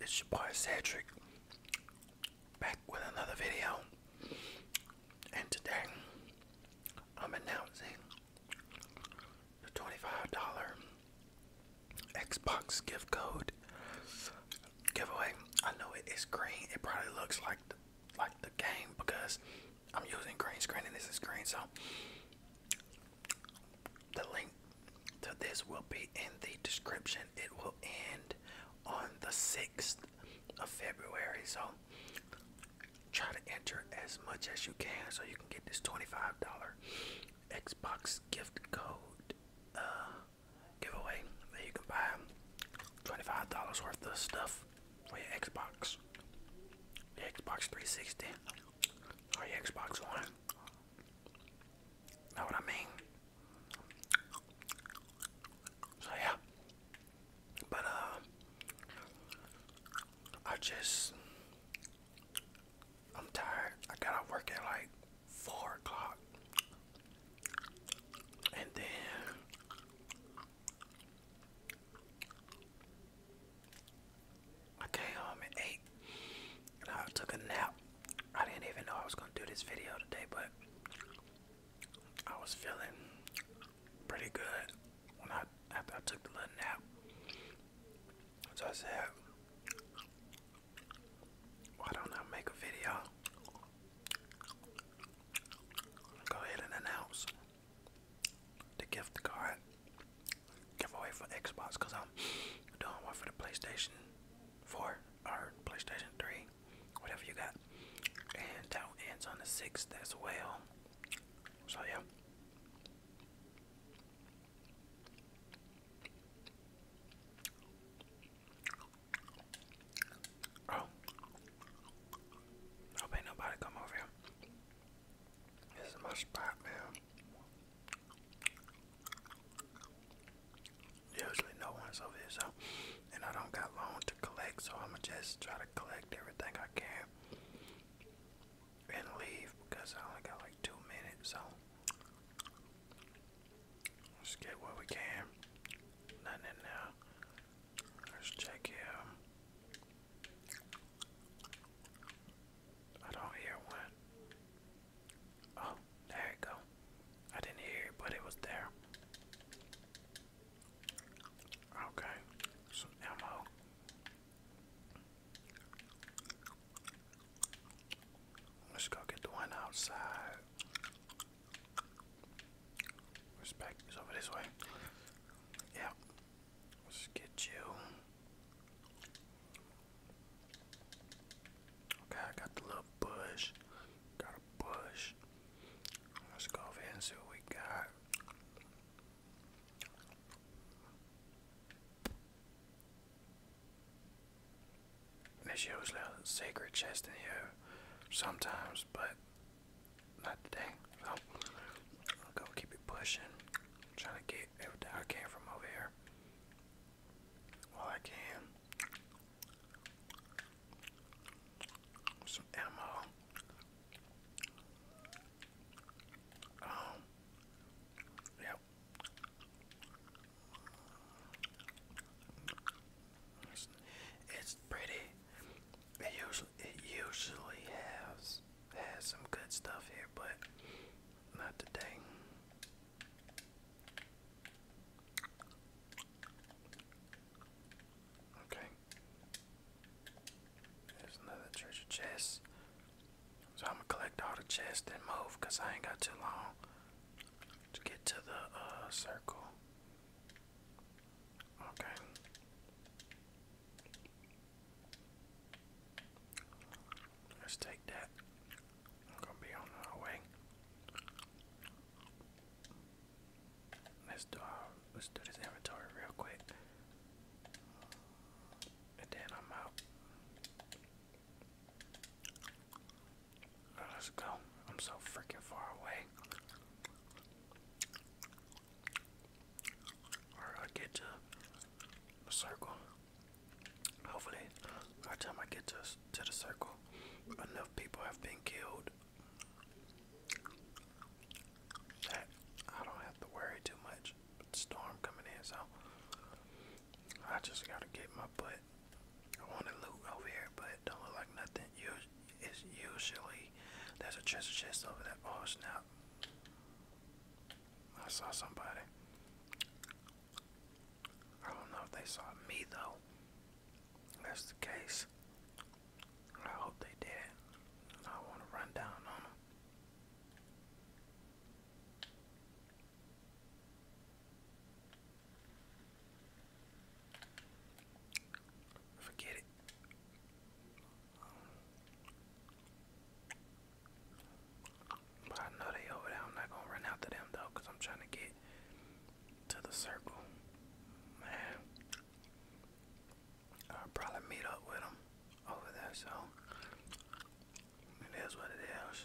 It's your boy Cedric back with another video, and today I'm announcing the $25 Xbox gift code giveaway. I know it is green, it probably looks like the, like the game because I'm using green screen and this is green, so the link to this will be in the description. It will end on the 6th of February. So try to enter as much as you can so you can get this $25 Xbox gift code uh, giveaway that you can buy $25 worth of stuff for your Xbox, Xbox 360, or Xbox One. Know what I mean? So yeah. But uh I just I'm tired. I got to work at like four o'clock. And then I came um, eight I took a nap. I didn't even know I was gonna do this video today, but I was feeling pretty good when I after I took the little nap. So I said, why don't I make a video? Go ahead and announce the gift card giveaway for Xbox because I'm doing one for the PlayStation 4 or PlayStation 3, whatever you got. And that ends on the 6th as well. So, yeah. Oh. Hope ain't nobody come over here. This is my spot, man. Usually no one's over here, so and I don't got long to collect, so I'ma just try to collect everything I can and leave because I only got like two minutes, so let's get what we can. Nothing in there. Let's check here. I don't hear one. Oh, there you go. I didn't hear but it was there. Okay, some ammo. Let's go get the one outside. Respect is over this way. Yeah, Let's get you. Okay, I got the little bush. Got a bush. Let's go over see what we got. There's usually a sacred chest in here sometimes, but not today. I'm gonna keep it pushing. trying to get I came from over here. well, I can. Some ammo. Um. Yep. it's pretty. It usually it usually has has some good stuff here, but not today. Okay. There's another treasure chest. So I'm gonna collect all the chests and move because I ain't got too long to get to the uh, circle. Okay. Let's take that. We're gonna be on our way. Let's do our, uh, let's do this inventory real quick. And then I'm out. Let's go. I'm so freaking far away. I get to a circle. Hopefully, by the time I get to to the circle, enough people have been killed that I don't have to worry too much. storm coming in, so I just gotta get my butt. I want to loot over here, but don't look like nothing. usually there's a treasure chest over there. Oh, it's I saw somebody. I don't know if they saw me though. If that's the case. I hope they did. I want to run down Forget it. But I know they over there. I'm not gonna run out them though, i I'm trying to get to the circle. Man, I'll probably meet up with them over there. So it is what it is.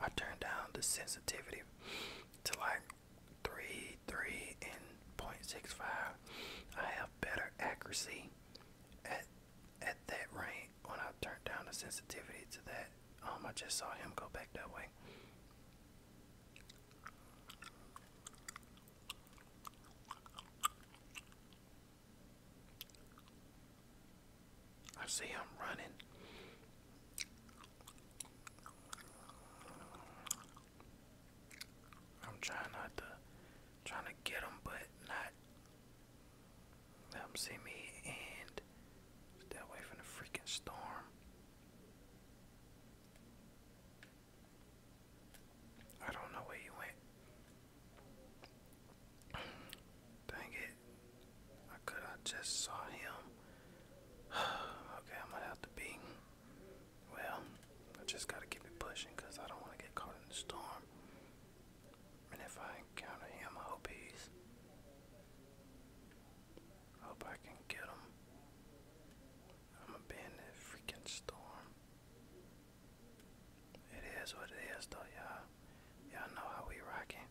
I turned down the sensitivity to like three, three, and 0.65. I have better accuracy at at that range when I turned down the sensitivity to that. Um, I just saw him go back that way. I see him running. I'm trying not to, trying to get him, but not let them see me and stay away from the freaking storm. I don't know where you went. Dang it. I could I just saw him. okay, I might have to be. Well, I just gotta keep it pushing I don't want to get caught in the storm. And if I encounter him, I hope he's. hope I can get him. i be in the freaking storm. It is what it is, though, y'all. Y'all know how we rocking.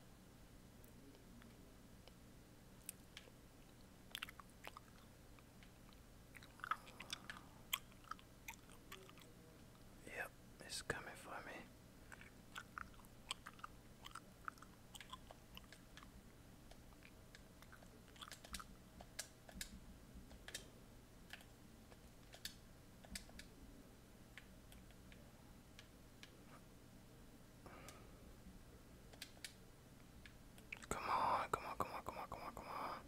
Yep, it's coming for me. Come on, come on, come on, come on, come on, come on.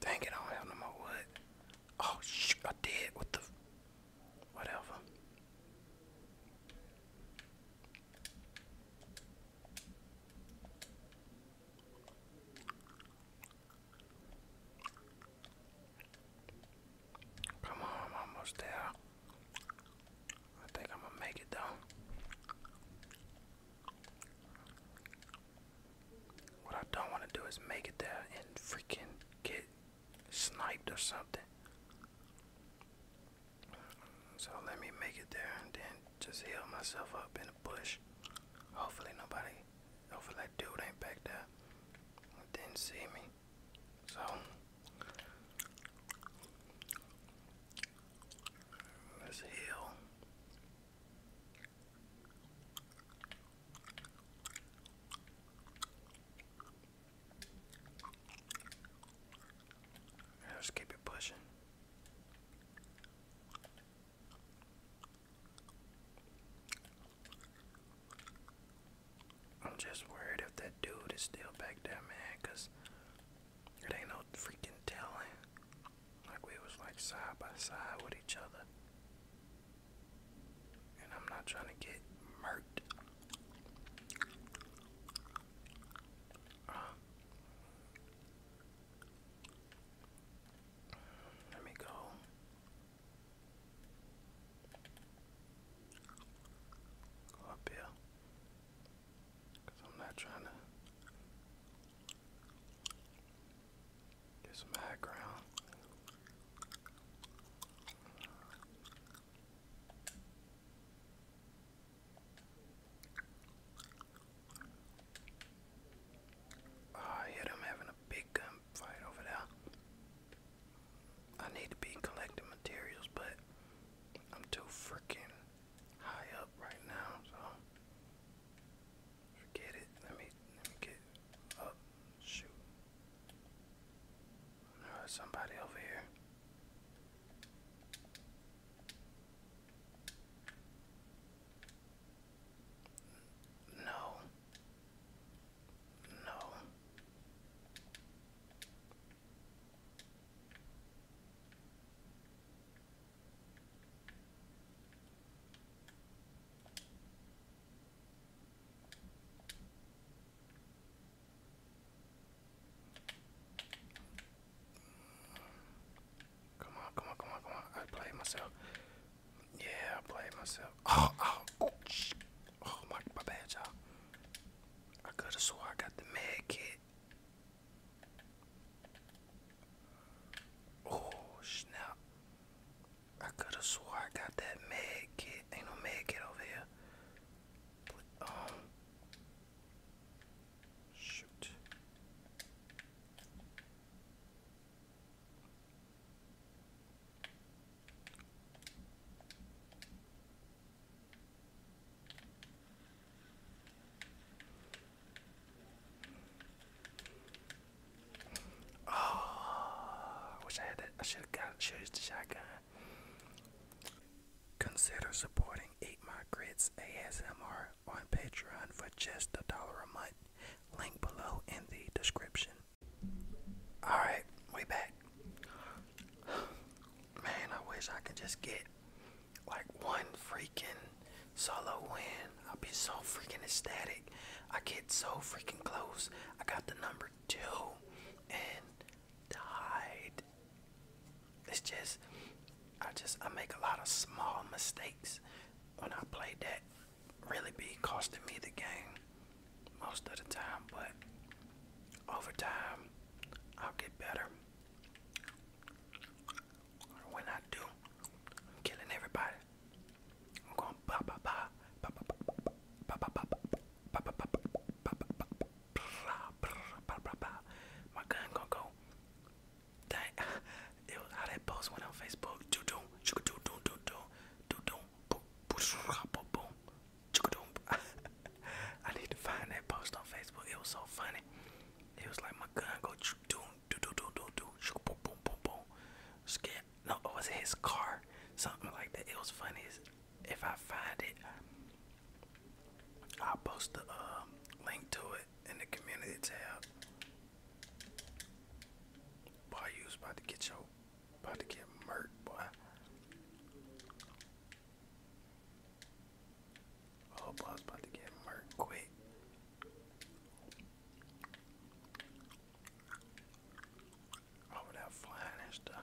Dang it, I don't have no more wood. Oh, shoot, I did. What the? Whatever. Come on, I'm almost there. I think I'm gonna make it though. What I don't want to do is make it there and freaking get sniped or something. So let me make it there and then just heal myself up in the bush. Hopefully nobody, hopefully that dude ain't back there. Didn't see me. So let's heal. let keep it pushing. I'm just worried if that dude is still back there, man, cause it ain't no freaking telling. Like we was like side by side with each other. And I'm not trying to get murked. Um, let me go up here. Because I'm not trying to get some high ground. Ah, them having a big gunfight over there. I need to be collecting materials, but I'm too freaking high up right now, so forget it. Let me let me get up. Shoot. There's somebody over here. No. No. Come on, come on, come on, come on. I played myself. Yeah, I blame myself. Oh, oh, oh, oh my, my bad, y'all. I could have swore I got the med kit. Oh, snap. I could have swore I got that med kit. Ain't no med kit over here. Um, shoot. Oh, I wish I had that. I should have got choose the shotgun. Consider supporting Eat My Grits ASMR on Patreon for just a dollar a month. Link below in the description. Alright, way back. Man, I wish I could just get like one freaking solo win. i would be so freaking ecstatic. I get so freaking close. I got the number two and died. It's just I just I make a lot of small mistakes when I play that really be costing me the game most of the time, but over time I'll get better. When I do, I'm killing everybody. I'm going ba ba ba ba ba ba ba ba ba ba ba ba ba my gun gonna go that it was how that post went on Facebook. Do do do do do do do do do boom boom I need to find that post on Facebook. It was so funny. It was like my gun go do do do do do do boom boom boom boom. Scared. No, it was his car. Something like that. It was funny. If I find it, I'll post the uh, link to it in the community tab. Boy, you was about to get your, about to get murked, boy. Oh, boy, about to get murked quick. Over that flying and stuff.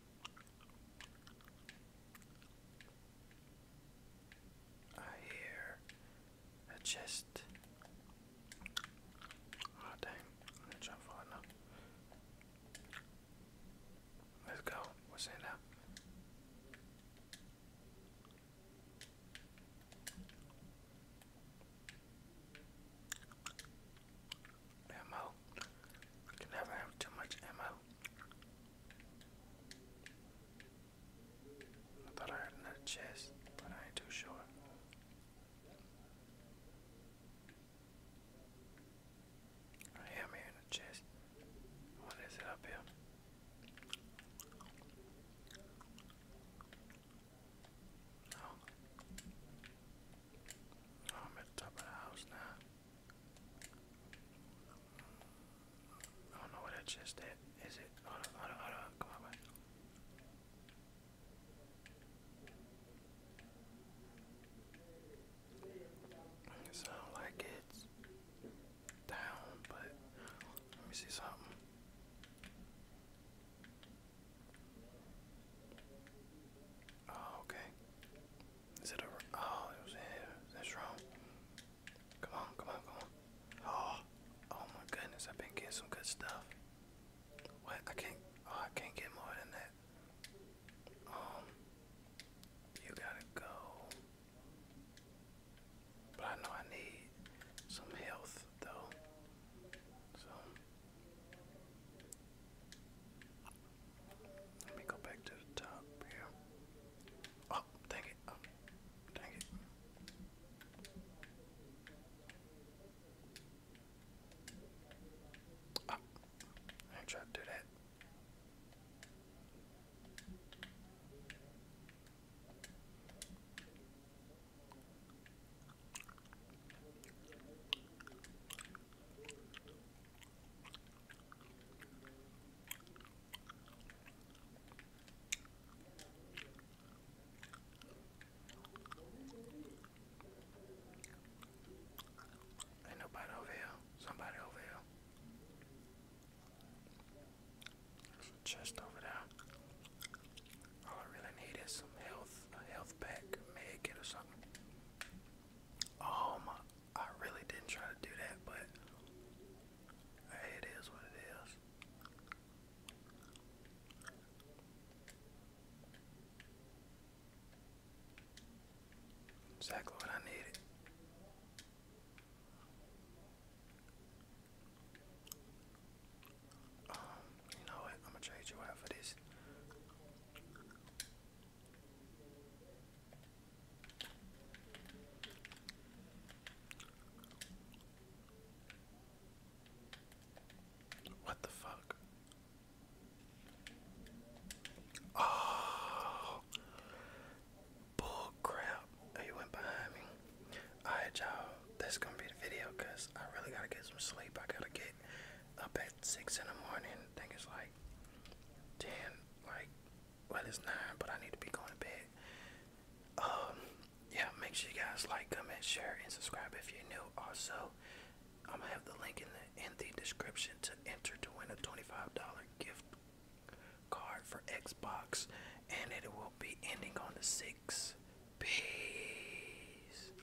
I hear a chest. Oh dang, Let's go. What's in there? Damn, my ammo. I can never have too much ammo. thought I heard another chest, but I ain't too sure. I am hearing a chest. What is it up here? Oh, I'm at the top of the house now. I don't know what that chest is. Is it? Hold on, hold on, Come on, It sounds like it's down, but let me see something. Oh, okay. Is it over? Oh, it was here. That's wrong. Come on, come on, come on. Oh, oh my goodness, I've been getting some good stuff. What? I can't. Oh, I can't get more than that. Um, you gotta go. But I know I need some health though. So let me go back to the top here. Oh, dang it. Oh, dang it. Oh, I ain't to do that. Ain't nobody over here. Somebody over here. There's chest over there. All I really need is some health, a health pack, a or something. Oh my, I really didn't try to do that, but it is what it is. Exactly what I needed. Um, you know what? I'm gonna trade you out for this. What the fuck? Oh, bull crap. Oh, you went behind me. Alright, y'all. That's gonna be the video because I really gotta get some sleep. I gotta get up at six in the morning. think it's like ten, like well it's nine, but I need to be going to bed. Um, yeah, make sure you guys like, comment, share, and subscribe if you're new. Also, I'm gonna have the link in the in the description to enter to win a twenty-five dollar gift card for Xbox, and it will be ending on the six. Peace.